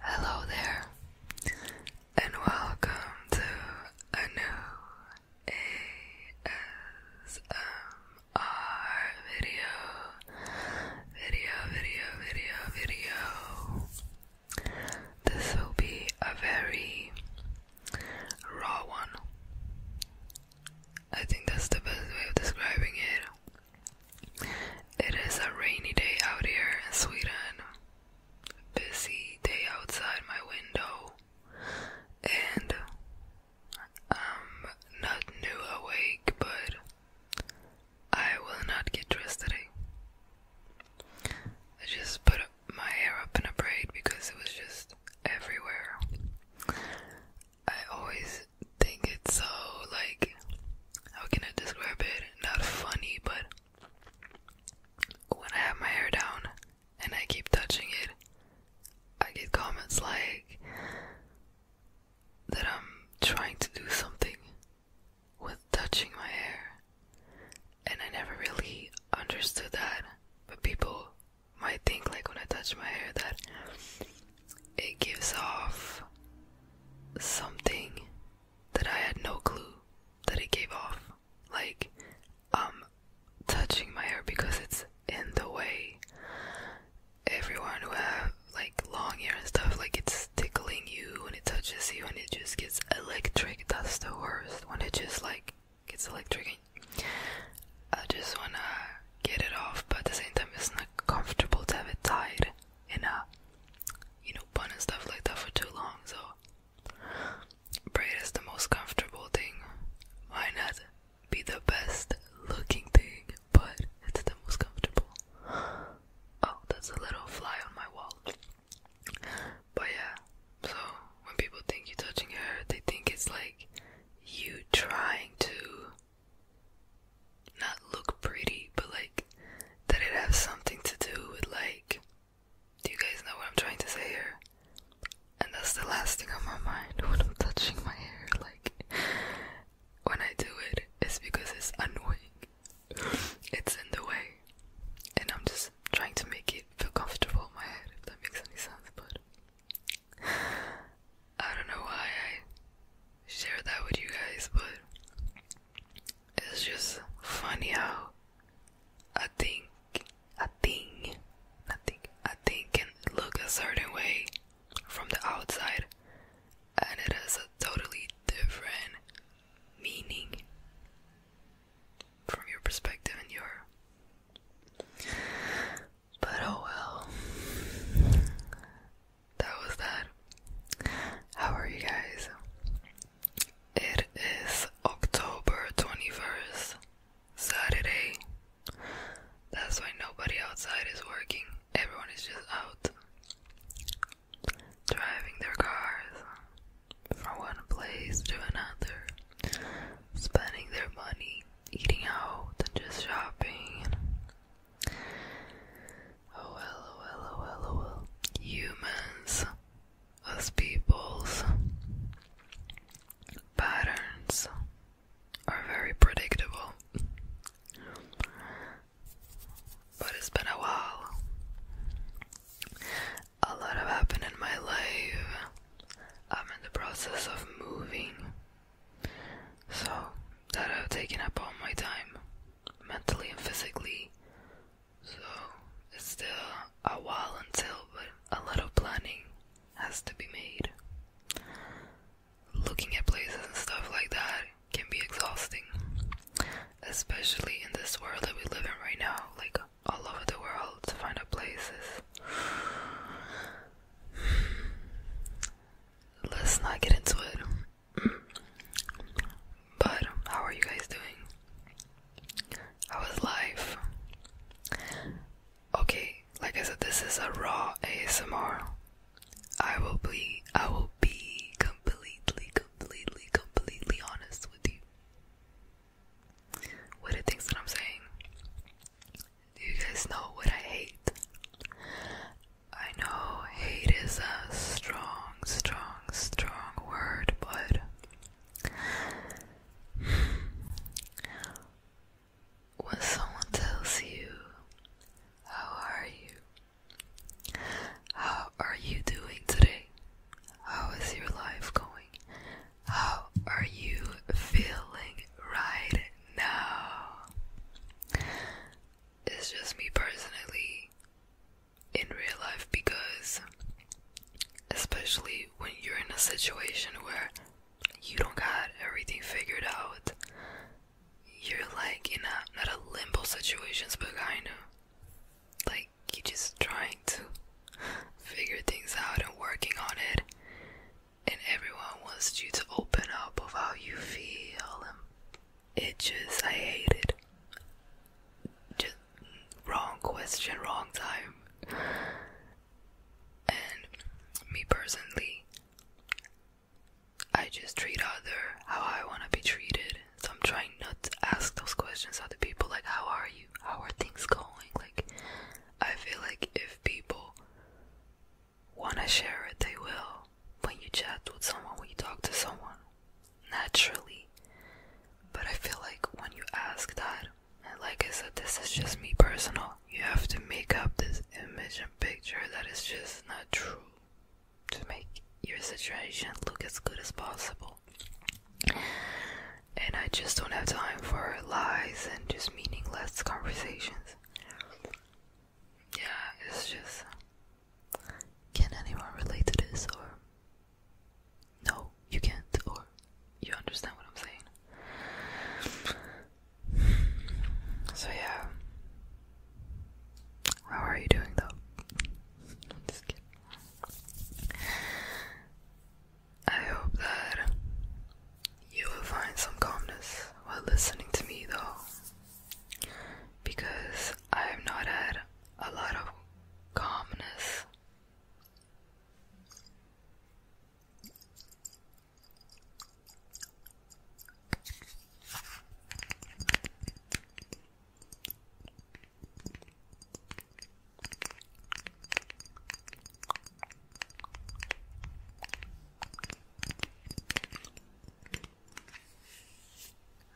Hello there, and welcome to a new ASMR video. Video, video, video, video. This will be a very raw one. I think that's the best way of describing it. It is a rainy day out here in Sweden. Busy day outside my window, and I'm um, not new awake, but I will not get dressed today. I just put my hair up in a braid because it was just everywhere. I always think it's so like how can I describe it? Not funny, but when I have my hair down and I keep touching it, I get comments like that I'm trying to do something with touching my hair. And I never really understood that. But people might think like when I touch my hair that it gives off something that I had no clue that it gave off. Like, i um, touching my hair because it's in the way. Everyone who have like long hair and stuff, like it's tickling you when it touches you and it just gets electric. That's the worst when it just like gets electric. I just wanna get it off, but at the same time, it's not comfortable to have it tied. And a uh, you know bun and stuff like that for too long. So braid is the most comfortable thing. Why not be the best looking thing, but it's the most comfortable. Oh, that's a little fly on my wall. But yeah, so when people think you're touching your hair, they think it's like you trying to not look pretty, but like that it has something to do with like do you guys know what I'm trying to say here? And that's the last thing on my mind when I'm touching my hair. Like when I do it, it's because it's annoying. It's in the way. And I'm just trying to make it feel comfortable in my head if that makes any sense, but I don't know why I share that with you guys, but it's just funny how I think a thing, I think a thing can look a certain way from the outside, and it has a totally different meaning from your perspective and your but oh well. That was that. How are you guys? It is October 21st, Saturday. That's why nobody outside is working. Everyone is just out driving their cars from one place to another, spending their money, eating out, and just shopping. Oh, oh, oh, oh Humans, as peoples, patterns are very predictable. But it's been a while. A lot have happened in my life. I'm in the process of moving so, that I've taken up all my time, mentally and physically. So, it's still a while until, but a lot of planning has to be made. Looking at places and stuff like that can be exhausting, especially in this world that we live in right now, like all over the world to find out places let's not get into it. But how are you guys doing? How is life? Okay, like I said, this is a raw ASMR. I will be I will be completely, completely, completely honest with you. With the things that I'm saying. Do you guys know what I hate? I know hate is a strong, strong, strong word, but when someone tells you, How are you? How are you doing today? How is your life going? How are you feeling right no. It's just me personally in real life because, especially when you're in a situation where you don't got everything figured out, you're like in a not a limbo situation, but kind of like you're just trying to figure things out and working on it and everyone wants you to open up of how you feel. It just, I hate it. Just wrong question, wrong time. And me personally, I just treat other how I want to be treated. So I'm trying not to ask those questions other people like, how are you? How are things going? Like, I feel like if people Wanna share it, they will. When you chat with someone, when you talk to someone, naturally. But I feel like when you ask that, and like I said, this is just me personal, you have to make up this image and picture that is just not true to make your situation look as good as possible. And I just don't have time for lies and just meaningless conversations. Yeah, it's just. Can anyone relate to this? Or. No, you can't. Or. You understand what I'm saying? So, yeah. How are you doing though? I'm just kidding. I hope that you will find some calmness while listening to me, though, because I have not had a lot of calmness.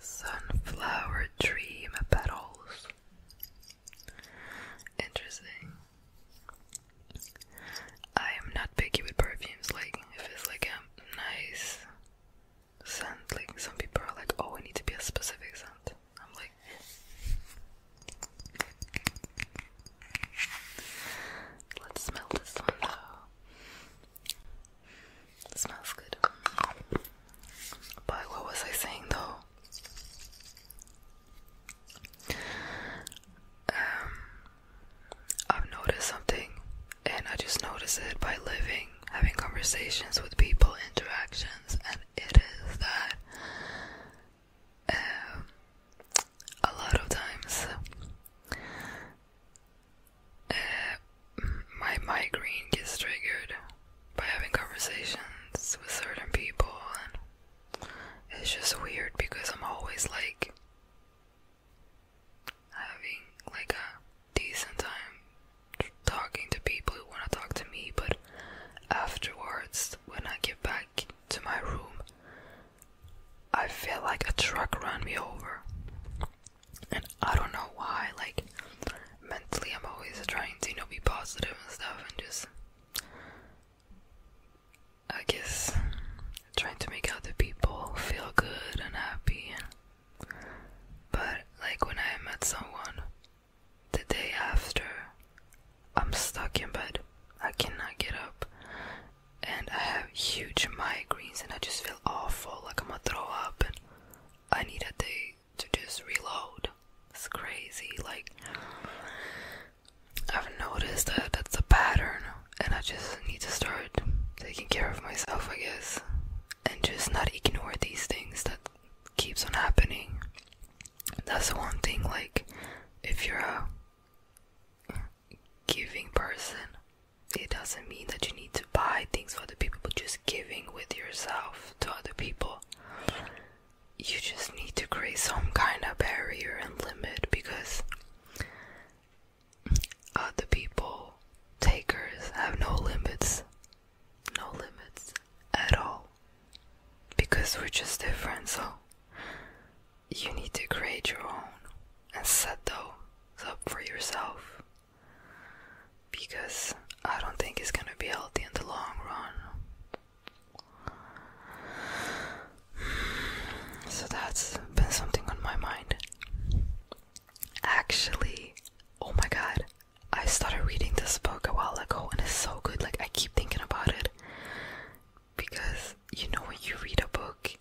Sunflower dream petals. Interesting. I am not picky with perfumes. Like if it's like a nice scent, like some people are like, oh, we need to be a specific scent i let's smell this one though. smells good. But what was I saying though? Um, I've noticed something, and I just noticed it by living, having conversations with people, interactions, and it is that a lot of times uh, my migraine gets triggered by having conversations with certain people, and it's just weird because I'm always like having like a decent time talking to people who want to talk to me, but Afterwards, when I get back to my room, I feel like a truck ran me over. And I don't know why, like, mentally, I'm always trying to, you know, be positive and stuff, and just, I guess, trying to make other people feel good and happy. But, like, when I met someone, the day after, I'm stuck in bed. I cannot get up. And I have huge migraines, and I just feel awful like I'm gonna throw up. And I need a day to just reload. It's crazy. Like, I've noticed that that's a pattern, and I just need to start taking care of myself, I guess, and just not ignore these things that keeps on happening that's the one thing like if you're a giving person it doesn't mean that you need to buy things for other people just giving with yourself to other people you just need to create some kind of barrier and limit because other people takers have no limits no limits at all because we're just different, so you need to create your own and set those up for yourself because I don't think it's gonna be healthy in the long run. So that's been something on my mind. Actually, oh my god, I started reading this book a while ago and it's so good. Like, I keep thinking about it because you know, when you read a book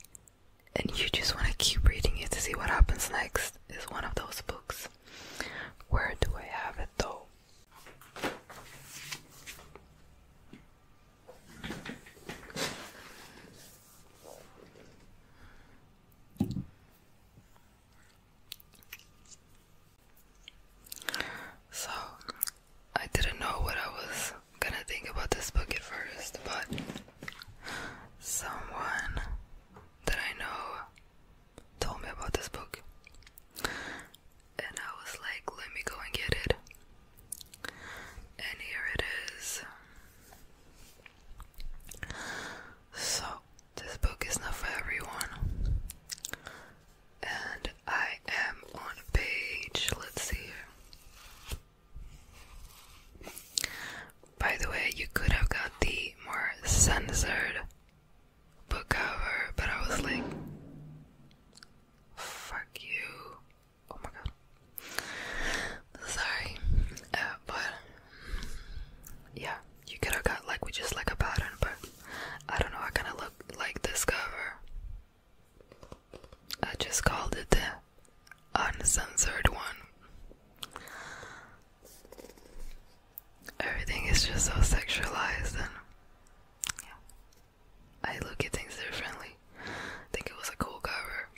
and you just want to keep reading it to see what happens next, is one of those books. Where do I have it though? So, I didn't know what I was gonna think about this book at first, but someone that I know told me about this book, and I was like, let me go and get it. And here it is. So, this book is not for everyone. And I am on page, let's see here. By the way, you could have got the more censored book cover, but I was like, fuck you. Oh my god. Sorry. Uh, but, yeah you could have got like with just like a pattern, but I don't know. I kind of look like this cover. I just called it the uncensored one. Everything is just so sexualized, and yeah, I look at things differently. I think it was a cool cover,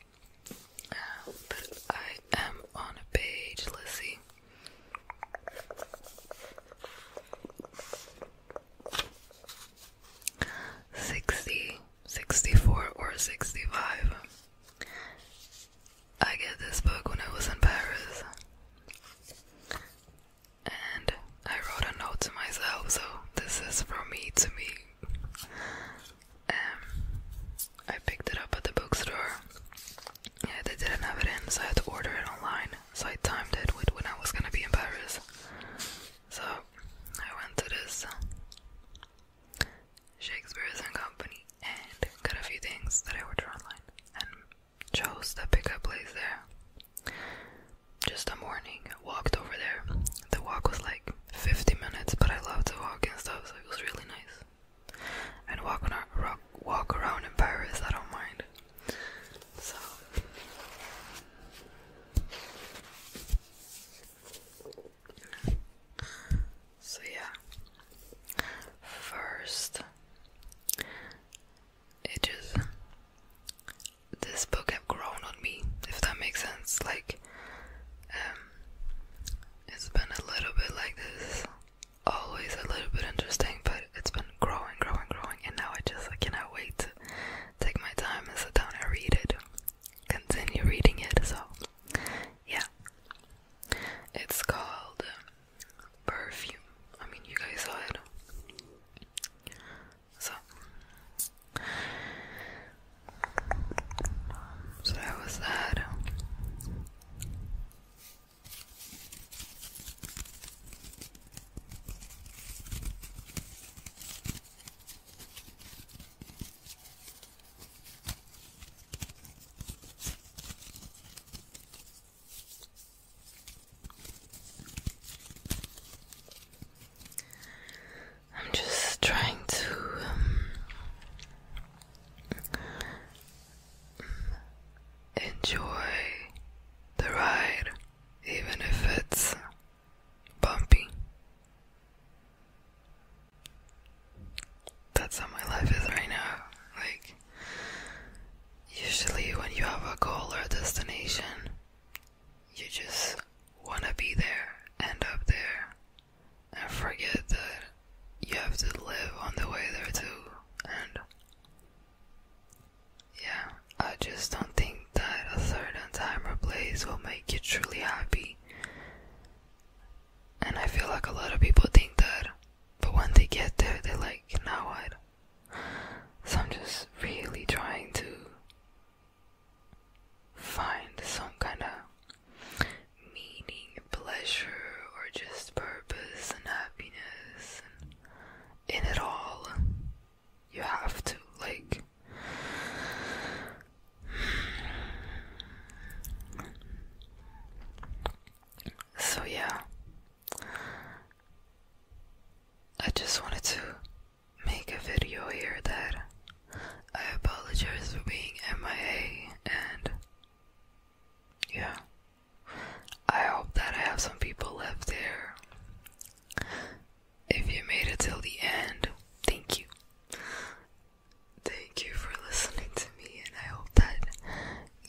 uh, but I am on a page. let Sixty, sixty-four, or sixty-five. I get this book when I was in Paris, and I wrote a note to myself. So this is from me to me. Um, I picked it up at the bookstore. Yeah, they didn't have it in, so I had to order it online. So I timed it with when I was gonna be in Paris. So I went to this Shakespeare's and Company and got a few things that I ordered online and chose the pickup place there. Just a morning, walked over there. The walk was like 50 minutes, but I love to walk and stuff, so it was really nice and walk around in Paris. I don't mind. So. So yeah. First, it just this book have grown on me, if that makes sense. Like, um, it's been a little bit like this always a little bit interesting, but it's been growing, growing, growing, and now I just I cannot wait to take my time and sit down and read it, continue reading it. So, yeah, it's called um, Perfume. I mean, you guys saw it. So, so that was that. I'm just trying to um, Enjoy the ride, even if it's bumpy. That's how my life is right now. Like, usually, when you have a goal or a destination, you just want to be there, and up there, and forget that you have to live on the way there too. And yeah, I just don't think that a third and timer place will make you truly happy. And I feel like a lot of people think that, but when they get there, they're like, now what? So I'm just really trying to find some kind of meaning, pleasure, or just purpose and happiness. And in it all, you have to like. So, yeah, I just wanted to make a video here that I apologize for being MIA and yeah. I hope that I have some people left there. If you made it till the end, thank you. Thank you for listening to me, and I hope that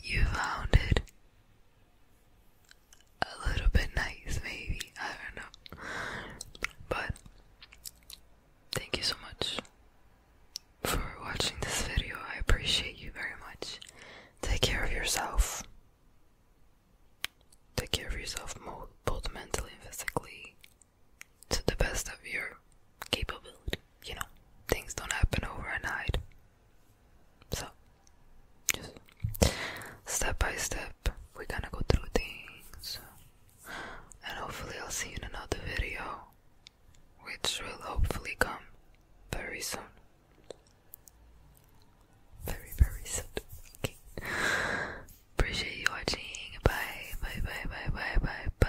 you found it a little bit nice, maybe. I don't know. But Thank you so much for watching this video. I appreciate you very much. Take care of yourself. Take care of yourself both mentally and physically to the best of your capability. You know, things don't happen overnight. So, step by step, we're gonna go through things and hopefully I'll see you in another video, which will hopefully come very soon. Very, very soon. Okay. Appreciate you watching. Bye, bye, bye, bye, bye, bye, bye.